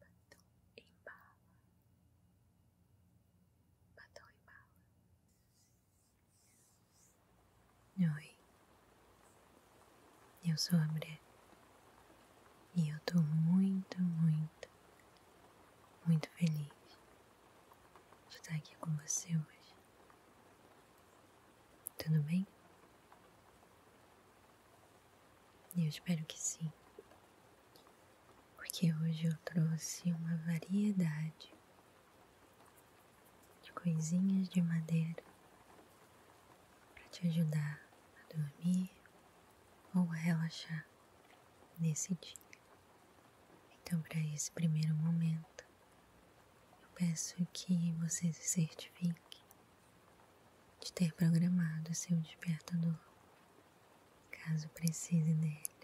Batom em bala. Batom em bala. Oi. Eu sou a Bre. E eu tô muito, muito, muito feliz de estar aqui com você hoje. Tudo bem? Eu espero que sim, porque hoje eu trouxe uma variedade de coisinhas de madeira para te ajudar a dormir ou a relaxar nesse dia. Então, para esse primeiro momento, eu peço que vocês se certifiquem de ter programado seu despertador, caso precise dele.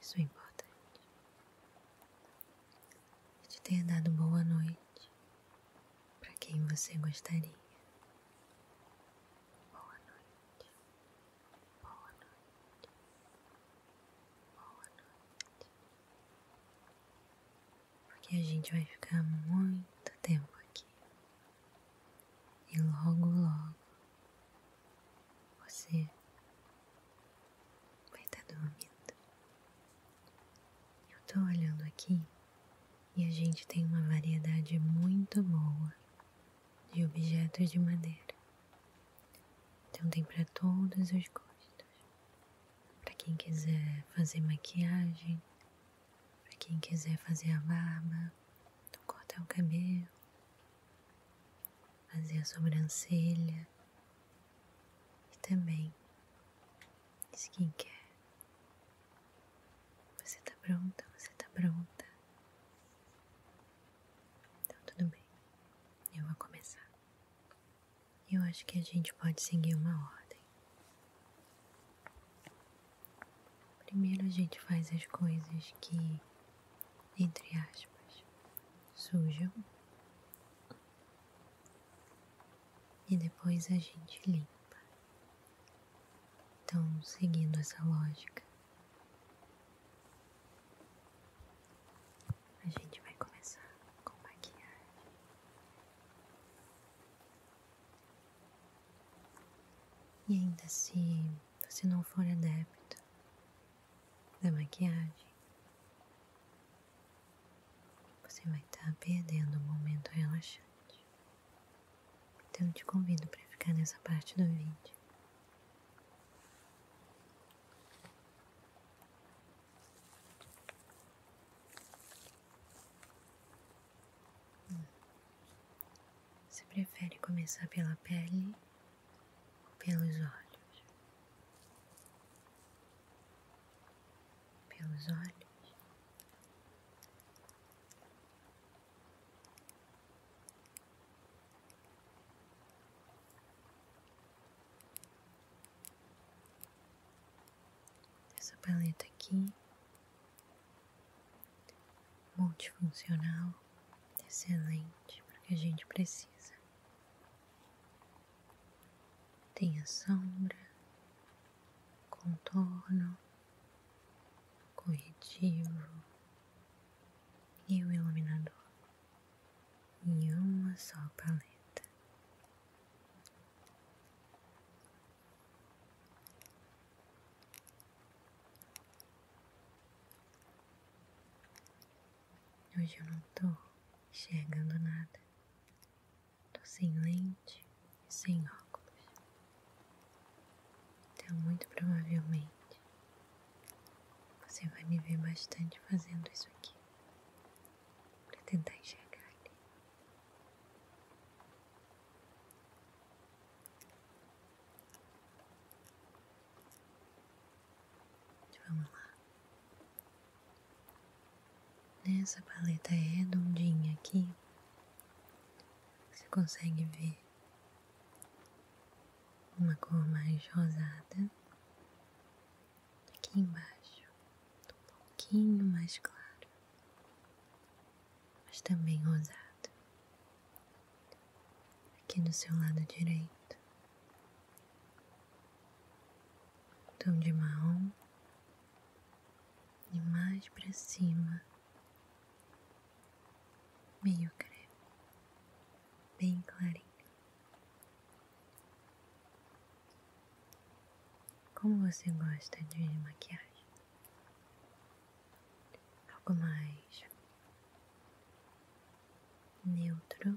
Isso é importante. de ter dado boa noite para quem você gostaria. Boa noite. Boa noite. Boa noite porque a gente vai ficar muito tempo aqui e logo, logo você vai estar tá dormindo. Eu tô olhando aqui e a gente tem uma variedade muito boa de objetos de madeira. Então tem para todos os gostos para quem quiser fazer maquiagem, para quem quiser fazer a barba, cortar o cabelo, fazer a sobrancelha e também quem quer, Você tá pronta, você tá pronta. Então tudo bem, eu vou começar. Eu acho que a gente pode seguir uma ordem. Primeiro a gente faz as coisas que, entre aspas, sujam. E depois a gente limpa. Então, seguindo essa lógica, a gente vai começar com maquiagem. E ainda se você não for adepto da maquiagem, você vai estar tá perdendo um momento relaxante. Então eu te convido para ficar nessa parte do vídeo. Você prefere começar pela pele ou pelos olhos? Pelos olhos? essa paleta aqui, multifuncional, excelente porque a gente precisa. Tem a sombra, contorno, corretivo e o iluminador em uma só paleta. Hoje eu não tô enxergando nada. Tô sem lente e sem óculos. Então, muito provavelmente, você vai me ver bastante fazendo isso aqui para tentar enxergar ali. Vamos lá. Nessa paleta redondinha aqui, você consegue ver uma cor mais rosada aqui embaixo, um pouquinho mais claro, mas também rosado, aqui no seu lado direito, tom de marrom e mais para cima, meio creme, bem clarinho. Como você gosta de maquiagem? Algo mais neutro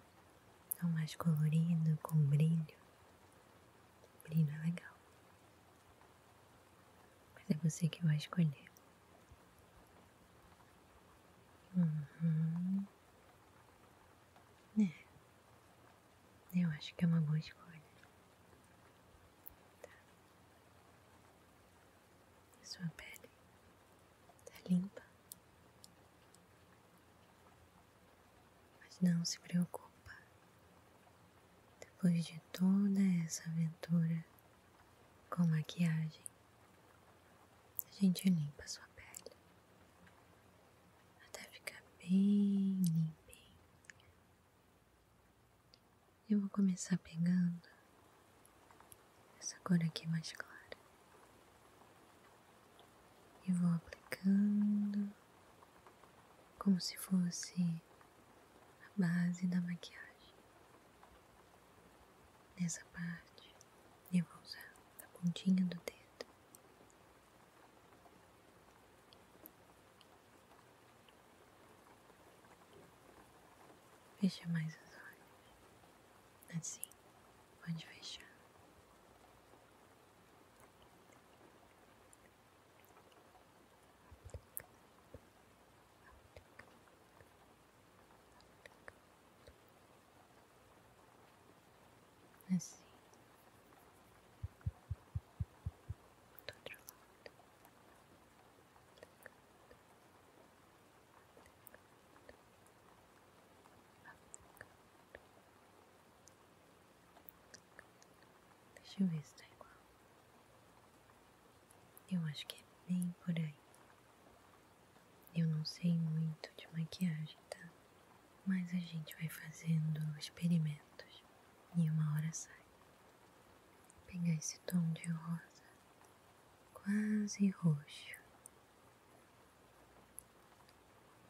ou mais colorido, com brilho? Brilho é legal. Mas é você que vai escolher. Uhum. É. Eu acho que é uma boa escolha. Tá. sua pele tá limpa. Mas não se preocupa. Depois de toda essa aventura com maquiagem, a gente limpa sua pele até ficar bem limpinha. Eu vou começar pegando essa cor aqui mais clara e vou aplicando como se fosse a base da maquiagem. Nessa parte eu vou usar a pontinha do dedo Fecha mais os let's see, assim, pode fechar assim, do outro lado, deixa eu ver se tá igual, eu acho que é bem por aí. Eu não sei muito de maquiagem, tá? mas a gente vai fazendo experimentos e uma hora sai. pegar esse tom de rosa, quase roxo,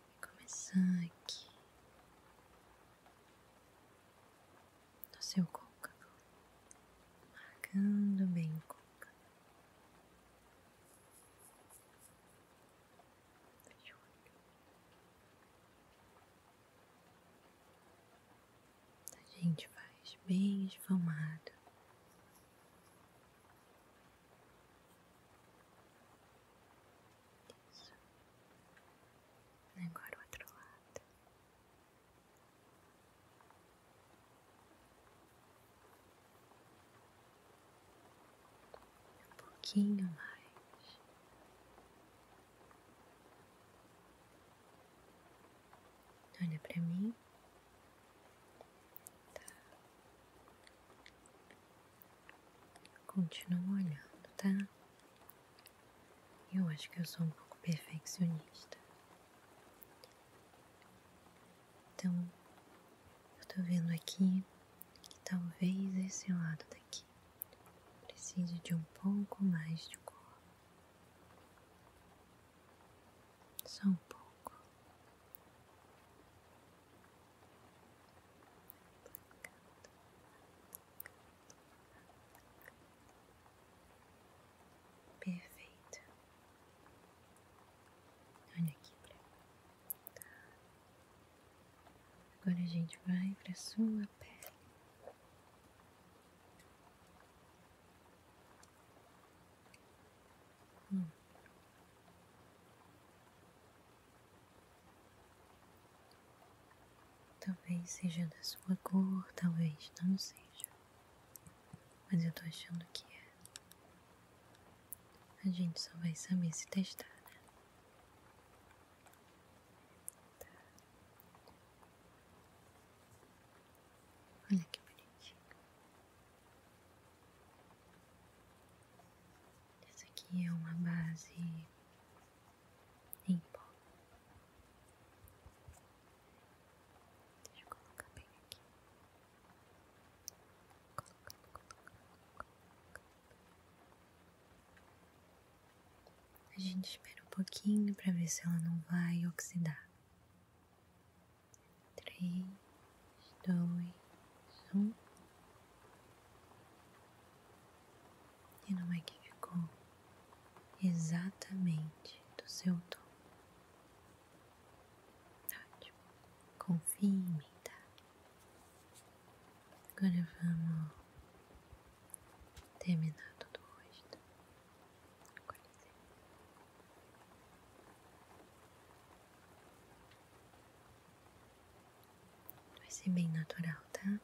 e começar aqui no seu côncavo, marcando bem o côncavo. A gente faz bem esfumado. Agora o outro lado um pouquinho mais. Olha para mim. Tá. Continua olhando, tá? Eu acho que eu sou um pouco perfeccionista. Então, eu tô vendo aqui que talvez esse lado daqui Preciso de um pouco mais de cor. Só um pouco. Perfeito. Olha aqui pra mim. Agora a gente vai para sua pele. Hum. Talvez seja da sua cor, talvez não seja. Mas eu tô achando que é. A gente só vai saber se testar, né? Olha que bonitinho. Essa aqui é uma base em pó. Deixa eu colocar bem aqui. Colocando, colocando, a gente espera um pouquinho para ver se ela não vai oxidar. Três, dois, um. E não é que ficou exatamente do seu tom. Ótimo. Confie em mim, tá? Agora vamos terminar todo o rosto. Vai ser bem natural, tá?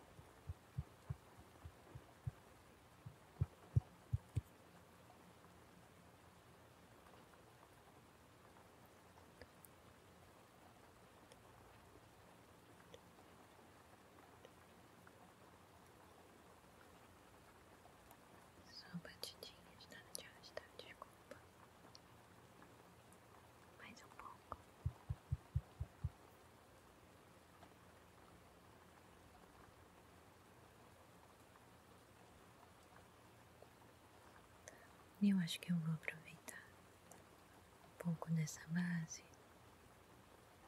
Só batidinhas, nada de arrastar, desculpa. Mais um pouco. Eu acho que eu vou aproveitar um pouco nessa base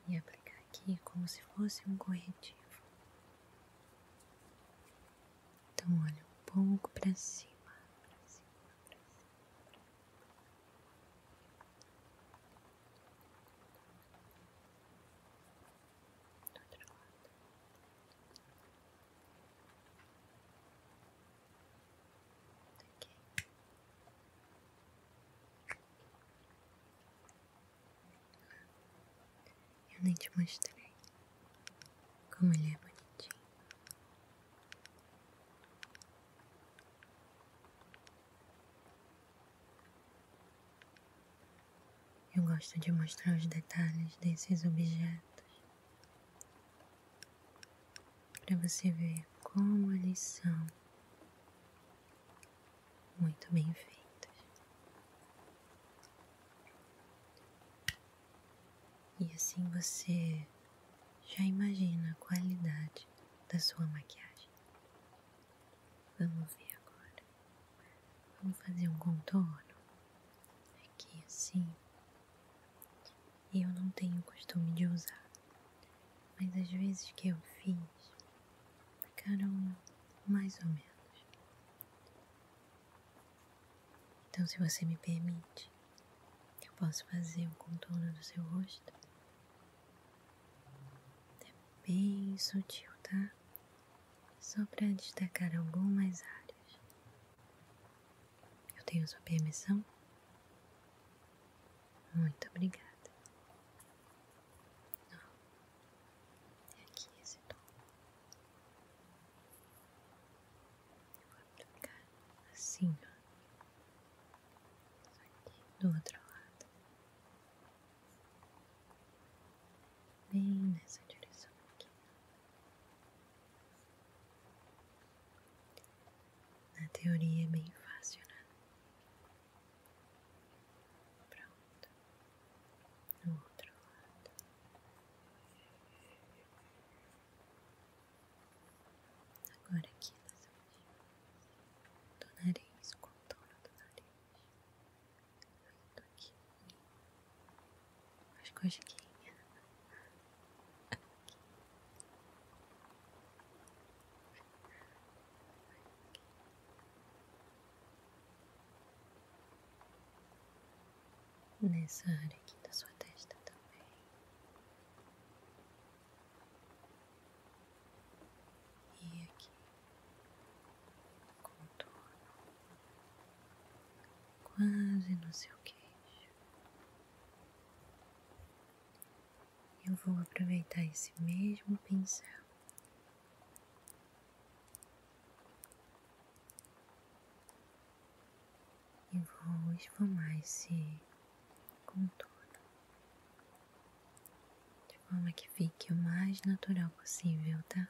e aplicar aqui como se fosse um corretivo. Então, olha um pouco para cima. Pra cima, pra cima. Do outro lado. Eu nem te mostrei como ele é bonitinho. Eu gosto de mostrar os detalhes desses objetos para você ver como eles são muito bem feitos. E assim você já imagina a qualidade da sua maquiagem. Vamos ver agora. Vamos fazer um contorno aqui assim. Eu não tenho costume de usar, mas as vezes que eu fiz ficaram mais ou menos. Então, se você me permite, eu posso fazer o contorno do seu rosto. É bem sutil, tá? Só para destacar algumas áreas. Eu tenho sua permissão? Muito obrigada. Oh, é aqui esse tom. Eu vou aplicar assim, ó. Só aqui do outro lado. Bem nessa direção aqui. Na teoria é bem fácil, né? Pronto. No outro lado. Agora aqui nas orelhas. Do nariz, contorno do nariz. Vindo aqui. As coxinhas. nessa área aqui da sua testa também. E aqui, contorno, quase no seu queixo, eu vou aproveitar esse mesmo pincel. E vou esfumar esse contorno de forma que fique o mais natural possível, tá?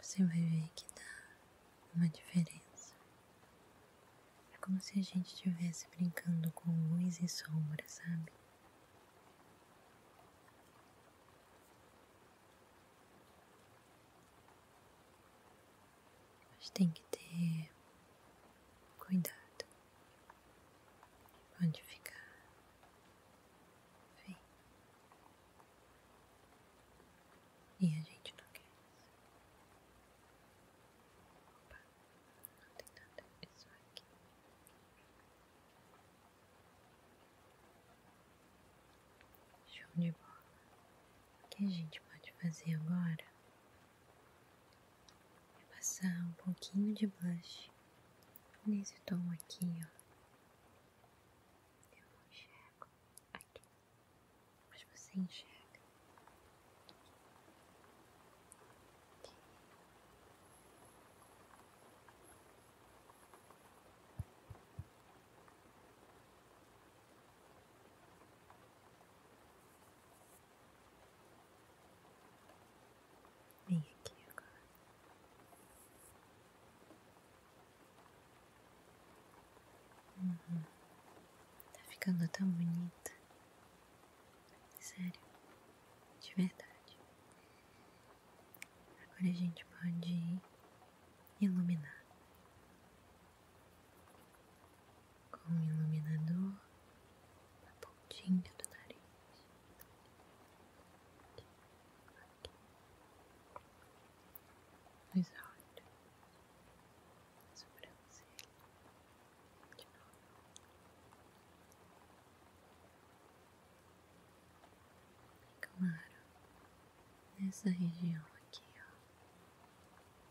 Você vai ver que dá uma diferença. É como se a gente estivesse brincando com luz e sombra, sabe? Mas tem que ter cuidado. Pode ficar. E a gente não quer Opa, não tem nada, é aqui. Show de bola. O que a gente pode fazer agora Vou passar um pouquinho de blush nesse tom aqui, ó. Eu não enxergo aqui, mas você enxerga. Vem aqui agora. Uhum. Tá ficando tão bonita. Sério. De verdade. Agora a gente pode iluminar com o iluminador na pontinha do nariz. Aqui, aqui. Os olhos, a sobrancelha, de novo. E claro, nessa região aqui, ó.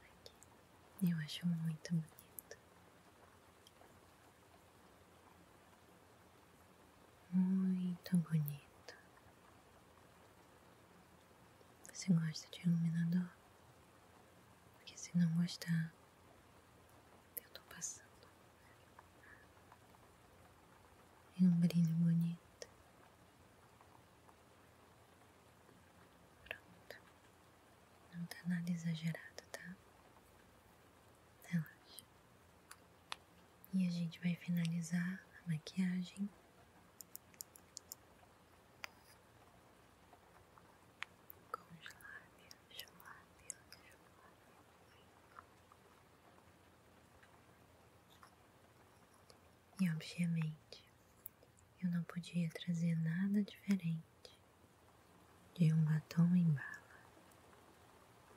Aqui. Eu acho muito bonito. Muito bonito. Você gosta de iluminador? Porque se não gostar, eu estou passando. É um brilho bonito. Pronto. Não tá nada exagerado, tá? Relaxa. E a gente vai finalizar a maquiagem com os lábios, os lábios, os lábios. E obviamente eu não podia trazer nada diferente de um batom em bala.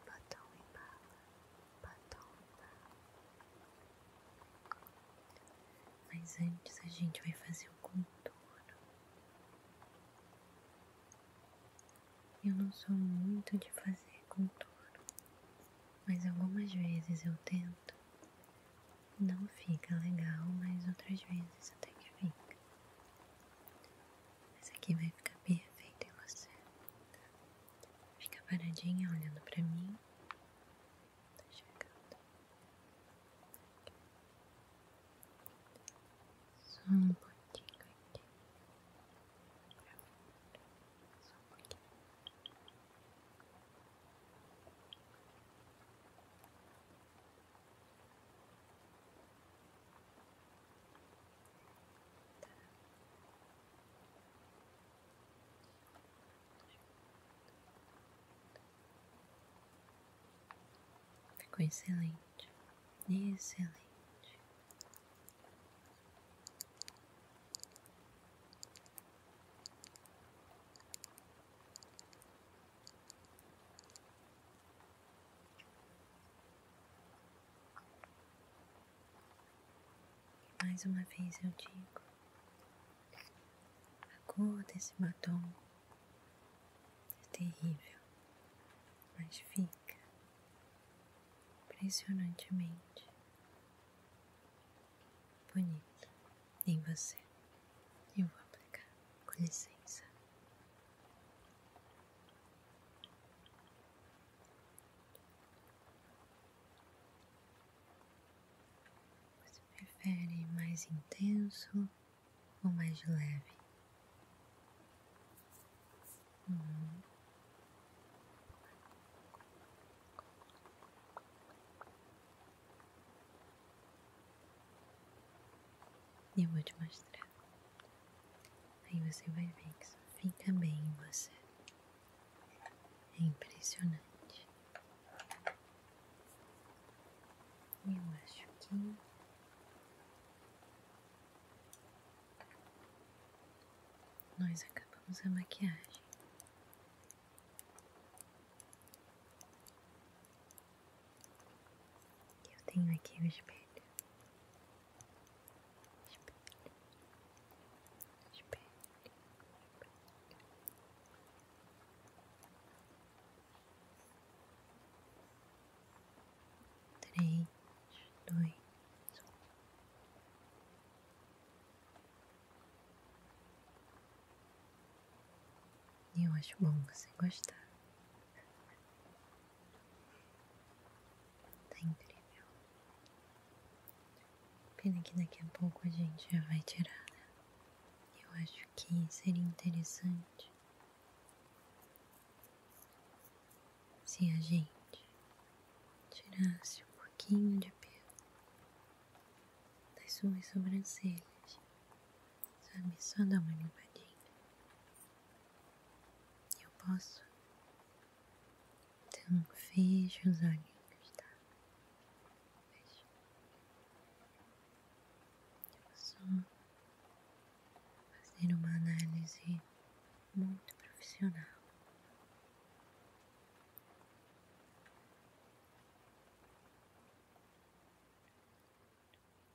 Batom em bala, batom em bala. Mas antes a gente vai fazer o contorno. Eu não sou muito de fazer contorno, mas algumas vezes eu tento. Não fica legal, mas outras vezes até que fica. Essa aqui vai ficar perfeita em você. Fica paradinha olhando pra mim. Tá chegando. Só um pouquinho aqui. Só um pouquinho. Tá Ficou excelente, excelente. Mais uma vez eu digo, a cor desse batom é terrível, mas fica impressionantemente bonita em você. Eu vou aplicar, com licença. Você prefere mais intenso ou mais leve? Eu vou te mostrar. Aí você vai ver que isso fica bem em você. É impressionante. Eu acho que. Nós acabamos a maquiagem. Eu tenho aqui o espelho. Espelho. Espelho. Três, dois, um. Eu acho bom você gostar. Tá incrível. Pena que daqui a pouco a gente já vai tirar, né? Eu acho que seria interessante se a gente tirasse um pouquinho de pelo das suas sobrancelhas Sabe, só dá uma limpadinha. Eu posso? Então fecha os olhinhos, tá? Eu vou só fazer uma análise muito profissional.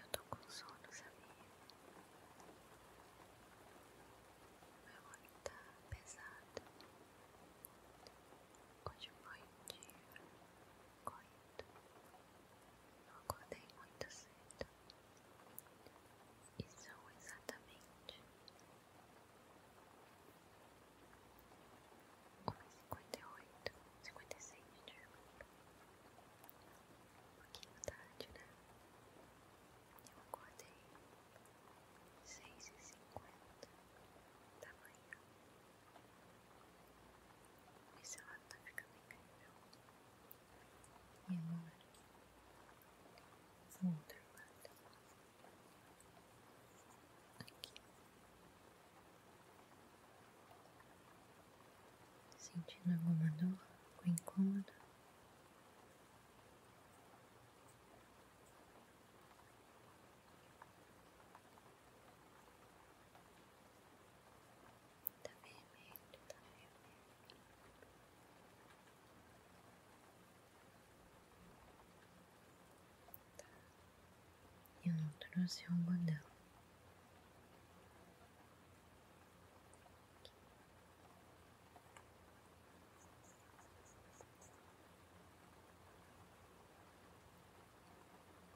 Eu tô com sono, sabia? Meu olho tá pesado. Hoje foi um dia corrido. Eu acordei muito cedo. E são exatamente 1,58, 56, desculpa. Um pouquinho tarde, né? Eu acordei 6h50 da manhã. Esse lado tá ficando incrível. E agora? O outro lado. Aqui. Sentindo alguma dor com incômodo? Tá vermelho, tá vermelho. Tá. Eu não trouxe o algodão.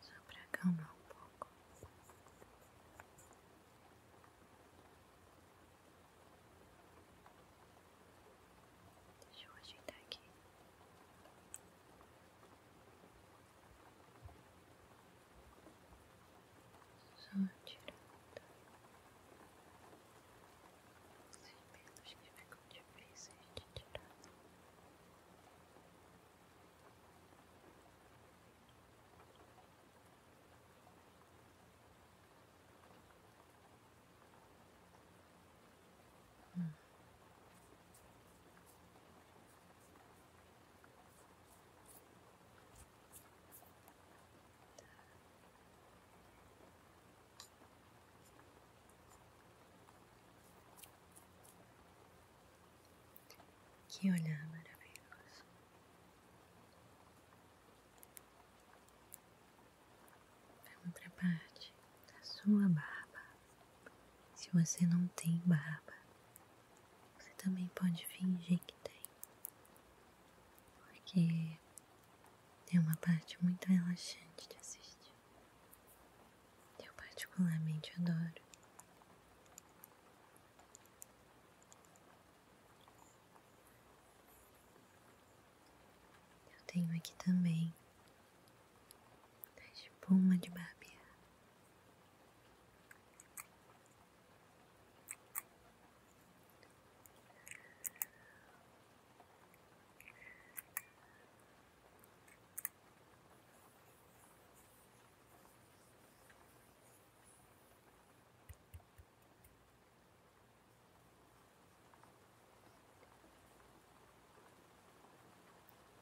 Só para acalmar um pouco. Deixa eu ajeitar aqui. Só tirando os pelos que ficam difíceis de tirar. Hum. Que olhar maravilhoso. Vamos para a parte da sua barba. Se você não tem barba, você também pode fingir que tem, porque é uma parte muito relaxante de assistir. Eu particularmente adoro. Eu tenho aqui também da espuma de barbear.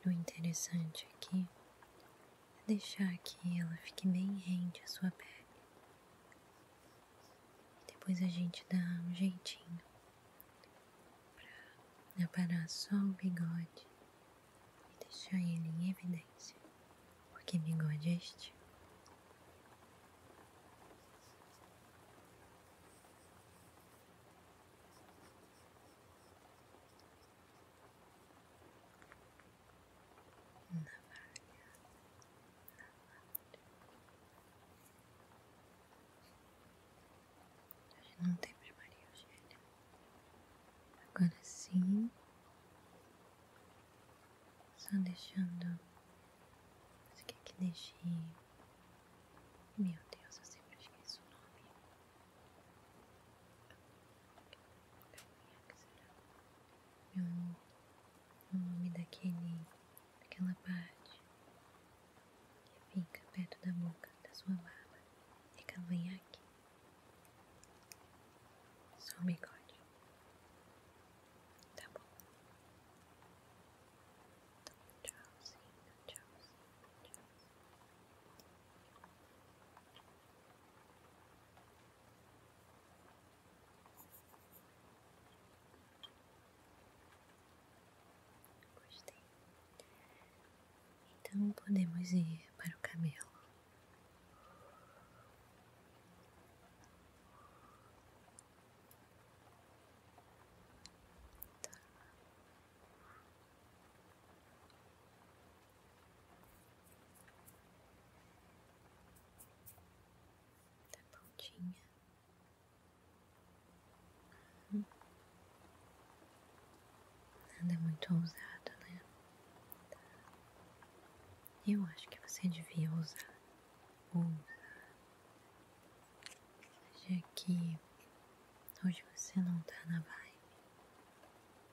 O interessante aqui é deixar que ela fique bem rente à sua pele. depois a gente dá um jeitinho para aparar só o bigode e deixar ele em evidência, porque bigode é este navalha, navalha. Hoje não temos Maria Eugênia. Agora sim, só deixando. Você quer que deixe. Meu Deus, eu sempre esqueço o nome. Meu amor, o nome daquele, daquela parte que fica perto da boca da sua barba é cavanhaque. Só o bigode. Tá bom. tchauzinho, tchauzinho, tchauzinho. Gostei. Então podemos ir para o camelo. Tá da tá pontinha. Uhum. Nada muito ousado, né? Eu acho que você devia usar. Usar. Já que hoje você não tá na vibe.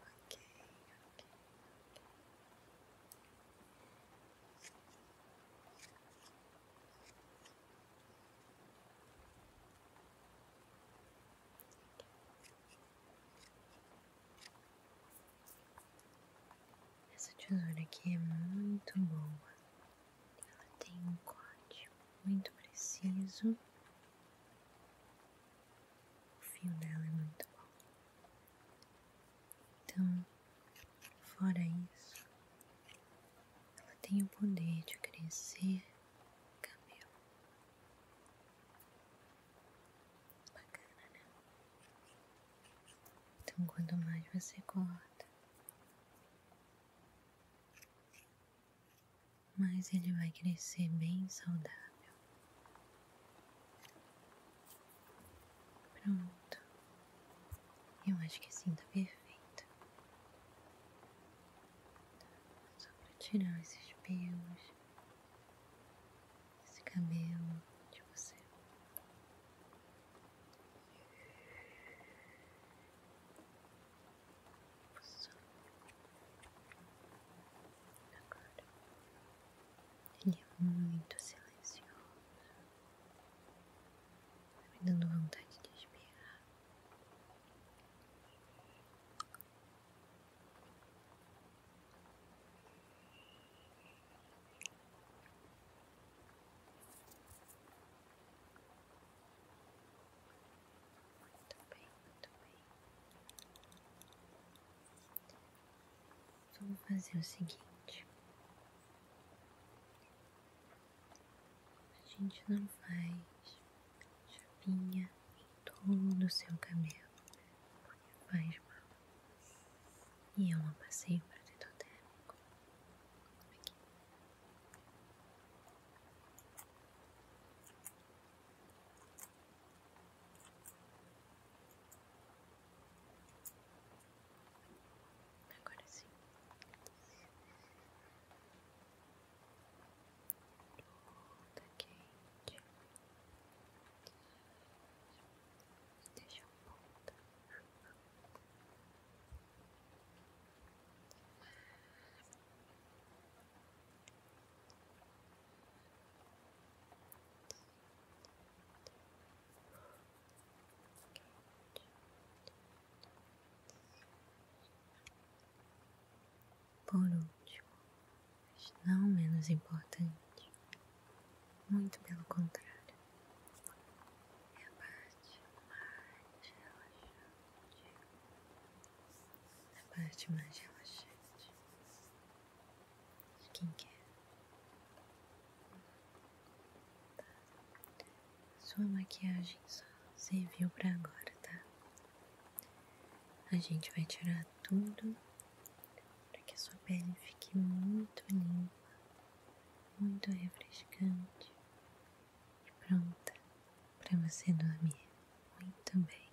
ok, essa tesoura aqui é muito boa. Ela tem um corte muito preciso o fio dela é muito bom. Então, fora isso, ela tem o poder de crescer cabelo. Bacana, né? Então, quanto mais você corta, mas ele vai crescer bem saudável. Pronto. Eu acho que assim tá perfeito. Só pra tirar esses pelos, esse cabelo de você. Agora ele é muito silencioso, tá me dando vontade de espirrar. Muito bem, muito bem. Vamos fazer o seguinte: a gente não faz chapinha em todo o seu cabelo, porque faz mal. E é eu não passei protetor térmico. Aqui. Agora sim. Toda tá quente. Deixa a ponta. Por último, mas não menos importante, muito pelo contrário, é a parte mais relaxante na parte mais relaxante de quem quer. Tá. Sua maquiagem só serviu para agora, tá? A gente vai tirar tudo para que a sua pele fique muito limpa, muito refrescante e pronta para você dormir muito bem.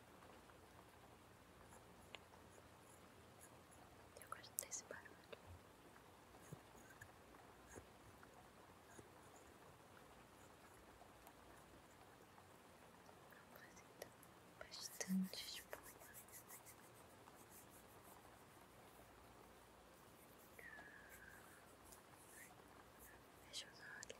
Eu gosto desse barulho. Apresenta bastante espuma. os olhos.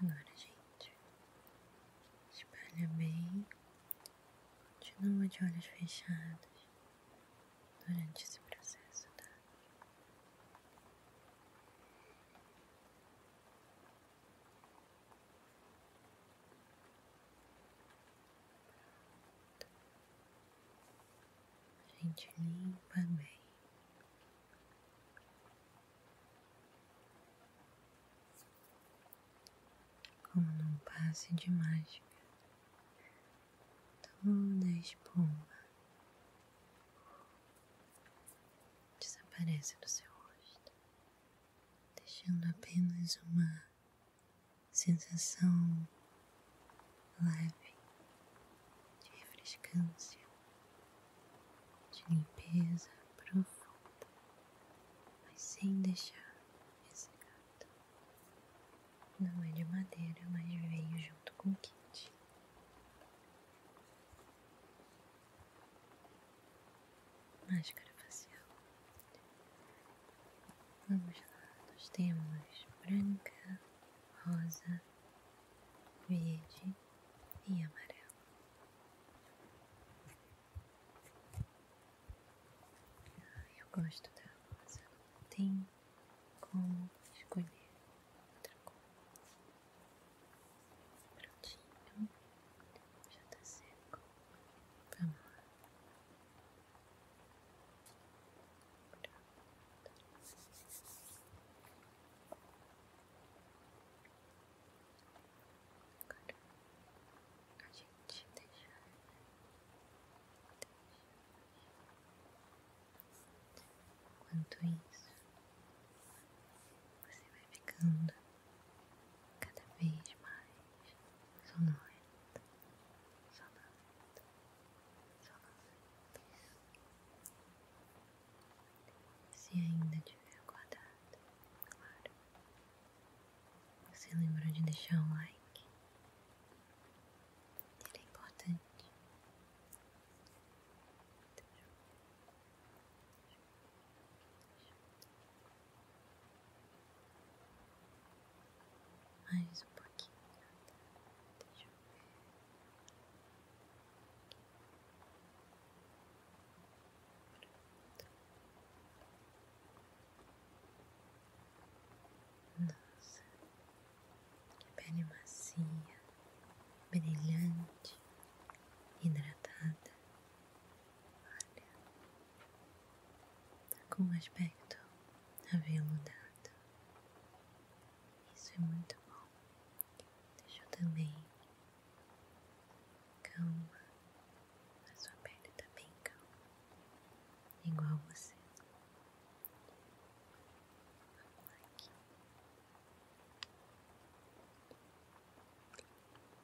Agora, gente, espalha bem. Continua de olhos fechados durante esse processo, tá? gente limpa bem. Como num passe de mágica, toda espuma desaparece do seu rosto, deixando apenas uma sensação leve de refrescância, de limpeza profunda, mas sem deixar esse gato. Não é de madeira, mas veio junto com o kit. Máscara facial. Vamos lá, nós temos branca, rosa, verde e amarelo. Ah, eu gosto da rosa, não tem como escolher outra cor. Prontinho, já tá seco. Vamos lá. Agora a gente deixa Enquanto isso, você vai ficando cada vez mais sonolenta, sonolenta, sonolenta. Se ainda tiver acordado, claro. Você lembra de deixar um like? Ele é importante. Mais um pouquinho. Deixa ver. Nossa, pele macia, brilhante, hidratada. Olha, tá com um aspecto aveludado. Isso é muito bom. Deixa eu também calma. A sua pele tá bem calma, igual você. aqui.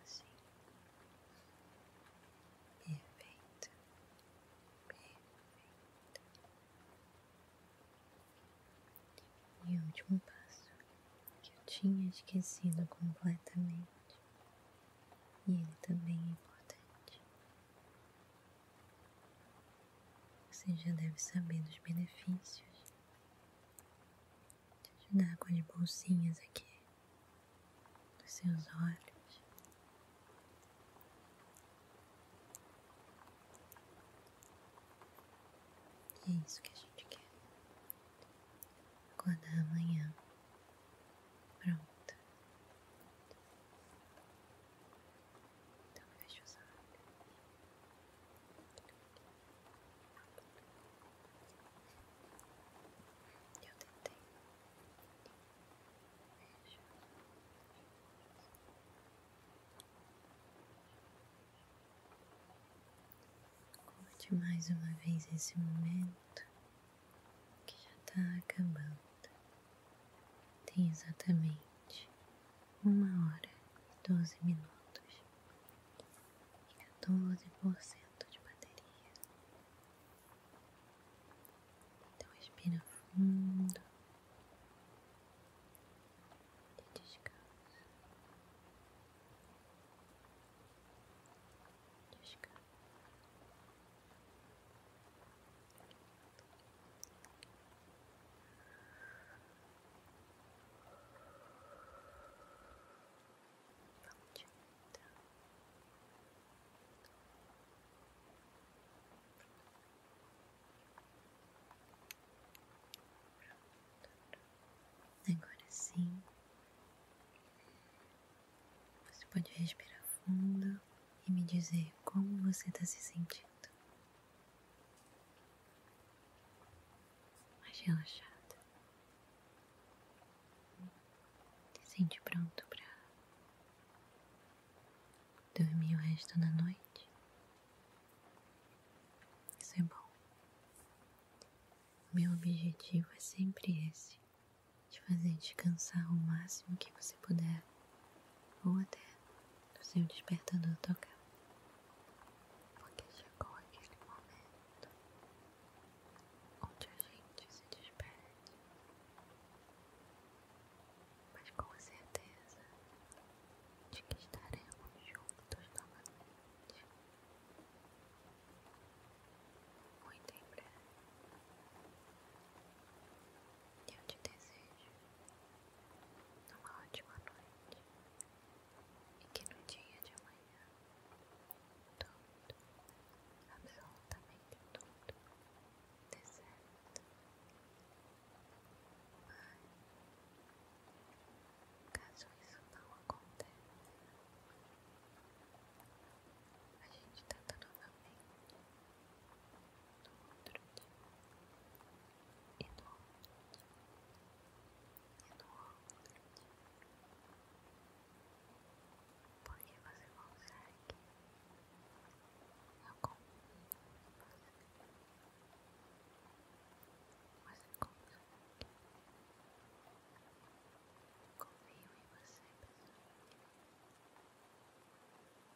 Assim. Perfeito. Perfeito. E o último passo que eu tinha esquecido completamente. E ele também é importante. Você já deve saber dos benefícios. Te ajudar com as bolsinhas aqui, dos seus olhos. E é isso que a gente quer. Acordar amanhã. Pronto. Então fecha os Eu tentei. Fecha. Curte mais uma vez esse momento que já está acabando. Tem exatamente uma hora e doze minutos e por cento de bateria. Então espira fundo e descansa. Descansa. Agora sim, você pode respirar fundo e me dizer como você está se sentindo. Mais relaxado, Se sente pronto para dormir o resto da noite? Isso é bom. Meu objetivo é sempre esse te fazer descansar o máximo que você puder, ou até o seu despertador tocar. Porque chegou aquele momento onde a gente se despede, mas com certeza de que estaremos juntos novamente. Muito em breve. E eu te desejo uma ótima noite e que no dia de amanhã tudo, absolutamente tudo, dê certo. Mas, caso isso não aconteça, a gente tenta tá novamente porque você consegue. Eu confio em você. Você consegue. Eu confio em você, pessoal.